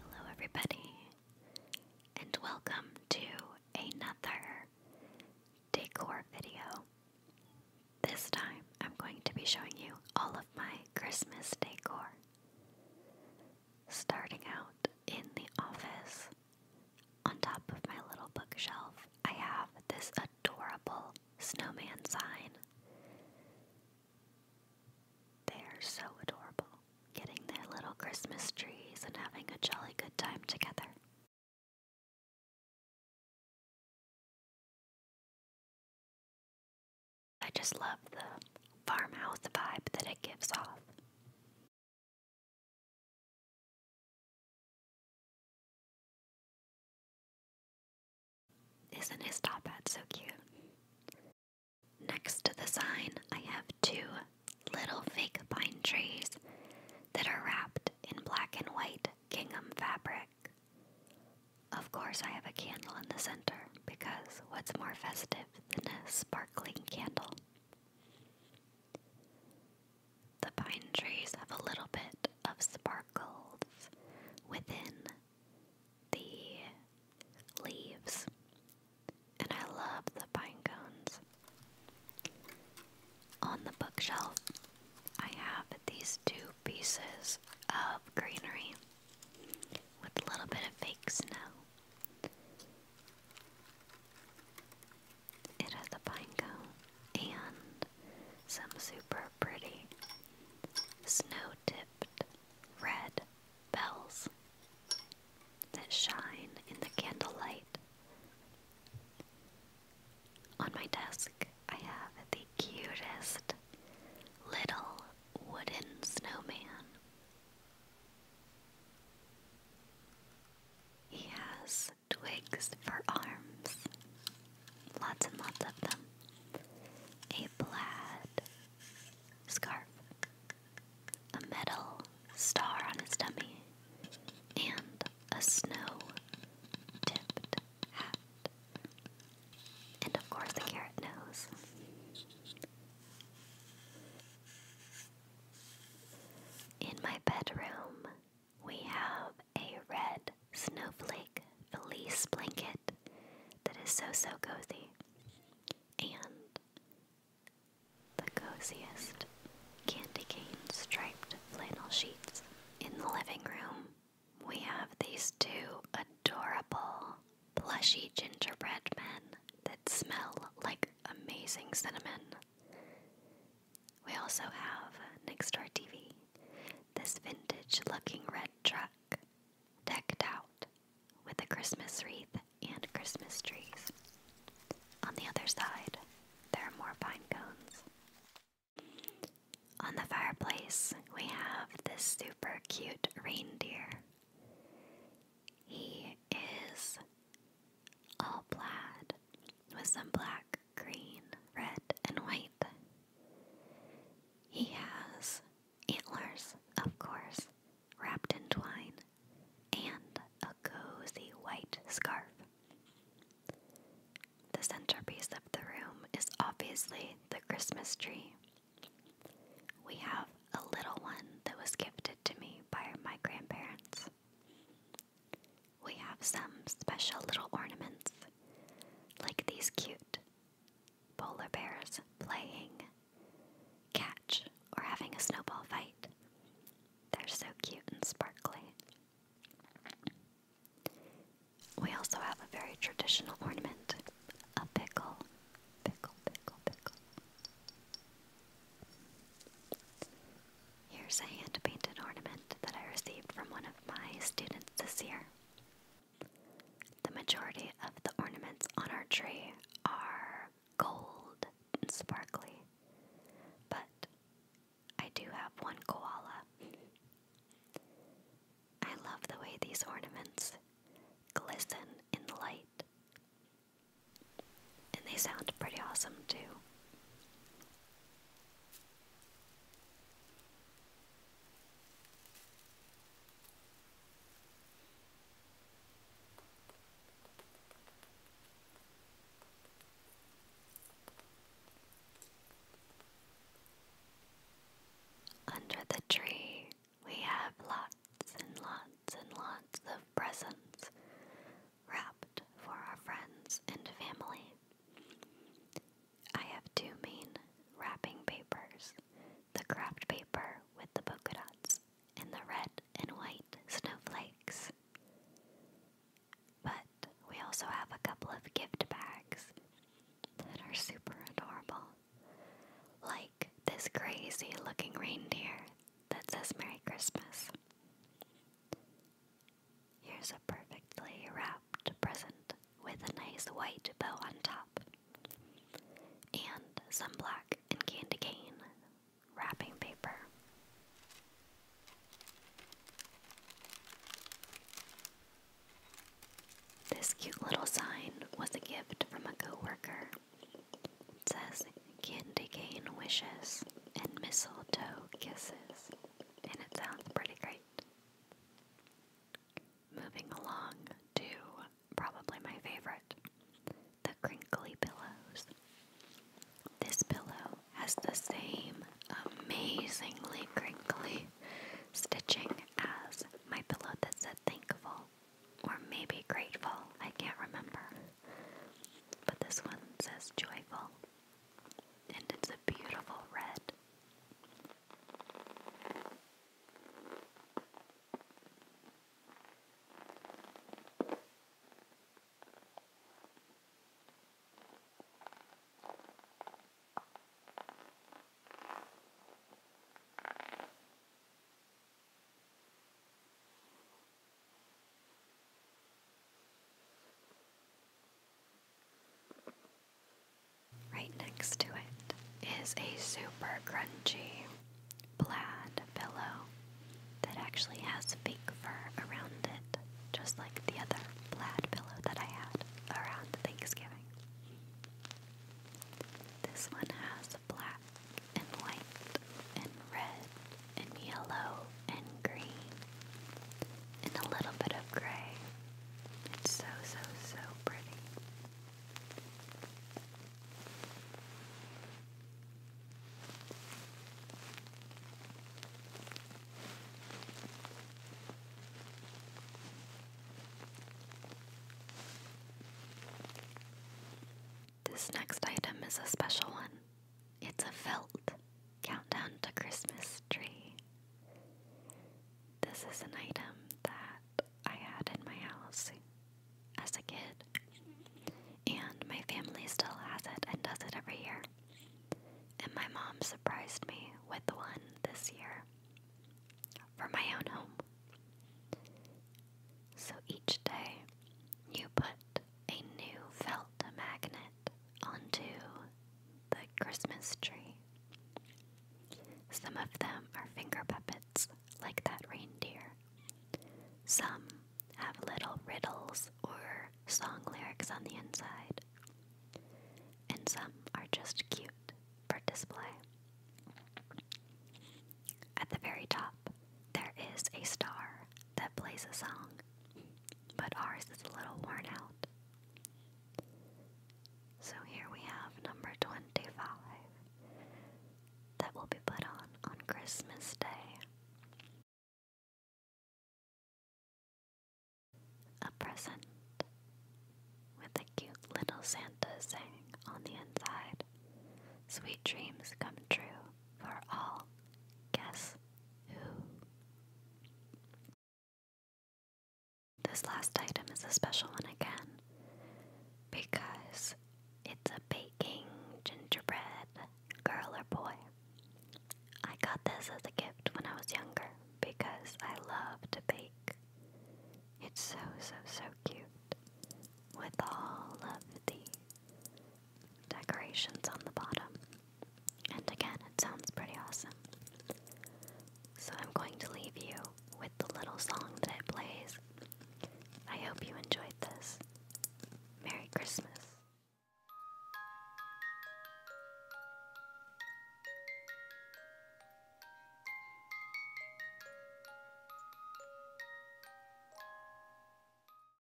Hello, everybody, and welcome to another decor video. This time, I'm going to be showing you all of my Christmas decor. Starting out in the office, on top of my little bookshelf, I have this adorable snowman sign. They are so adorable, getting their little Christmas trees and having a jolly good time together. I just love the farmhouse vibe that it gives off. Isn't his top hat so cute? Next to the sign, I have two little fake pine trees that are wrapped in black and white gingham fabric. Of course, I have a candle in the center because what's more festive than a sparkling candle? The pine trees have a little bit of sparkles within the leaves, and I love the pine On the bookshelf, I have these two pieces of greenery with a little bit of fake snow. It has a pine and some super pretty snow tipped red bells that shine in the candlelight. On my desk, I have the cutest little wooden snowman. He has twigs for arms. Lots and lots of them. A plaid scarf. A metal star on his tummy, And a snow tipped hat. And of course, a carrot nose. In my bedroom, we have a red snowflake fleece blanket that is so, so cozy. And the coziest candy cane striped flannel sheets. In the living room, we have these two adorable plushy gingerbread men that smell like amazing cinnamon. We also have next door TV this vintage looking red truck decked out with a Christmas wreath and Christmas trees. On the other side, there are more pine cones. On the fireplace, we have this super cute reindeer. He is all plaid, with some black, green, red, and white. He has antlers, of course, wrapped in twine, and a cozy white scarf. The centerpiece of the room is obviously the Christmas tree. We have a little one that was gifted to me by my grandparents. We have some special little ornaments, like these cute polar bears playing catch or having a snowball fight. They're so cute and sparkly. We also have a very traditional ornament, a pickle. Pickle, pickle, pickle. Here's a hand painted ornament that I received from one of my students this year. The majority of the ornaments on our tree are gold and sparkly, but I do have one koala. I love the way these ornaments glisten in the light and they sound pretty awesome too. Under the tree, we have lots and lots and lots of presents wrapped for our friends and family. I have two main wrapping papers the craft paper with the polka dots and the red and white snowflakes. But we also have a couple of gift bags that are super adorable. Like this crazy looking reindeer that says Merry Christmas. Here's a perfectly wrapped present with a nice white bow on top. And some black and candy cane wrapping paper. This cute little sign was a gift from a coworker. It says, candy cane wishes, and mistletoe kisses. And it sounds pretty great. Moving along to probably my favorite the crinkly pillows. This pillow has the same amazingly crinkly stitching as my pillow that said thankful or maybe grateful, I can't remember. But this one says joyful, and it's a beautiful red. Right next to it is a super crunchy plaid pillow that actually has fake fur around it, just like the other plaid pillow that I had around Thanksgiving. This one has black and white and red and yellow and green and a little bit of gray. It's so, so, so pretty. This next item is a special one. It's a felt countdown to Christmas tree. This is an item that I had in my house as a kid, and my family still has it and does it every year. And my mom surprised me with one this year for my own home. So each day you put a new felt magnet onto the Christmas tree. Some of them are finger puppets, like that reindeer. Some have little riddles or song lyrics on the inside. And some are just cute for display. At the very top, there is a star that plays a song but ours is a little worn out. So here we have number 25 that will be put on on Christmas Day. A present with a cute little Santa saying on the inside, Sweet dreams come true for all. Guess who? This last item is a special one again because it's a baking gingerbread girl or boy. I got this as a gift when I was younger because I love to bake. It's so, so, so cute with all of the decorations on the bottom. And again, it sounds pretty awesome. So I'm going to leave you with the little song that it plays. I hope you enjoyed this. Merry Christmas.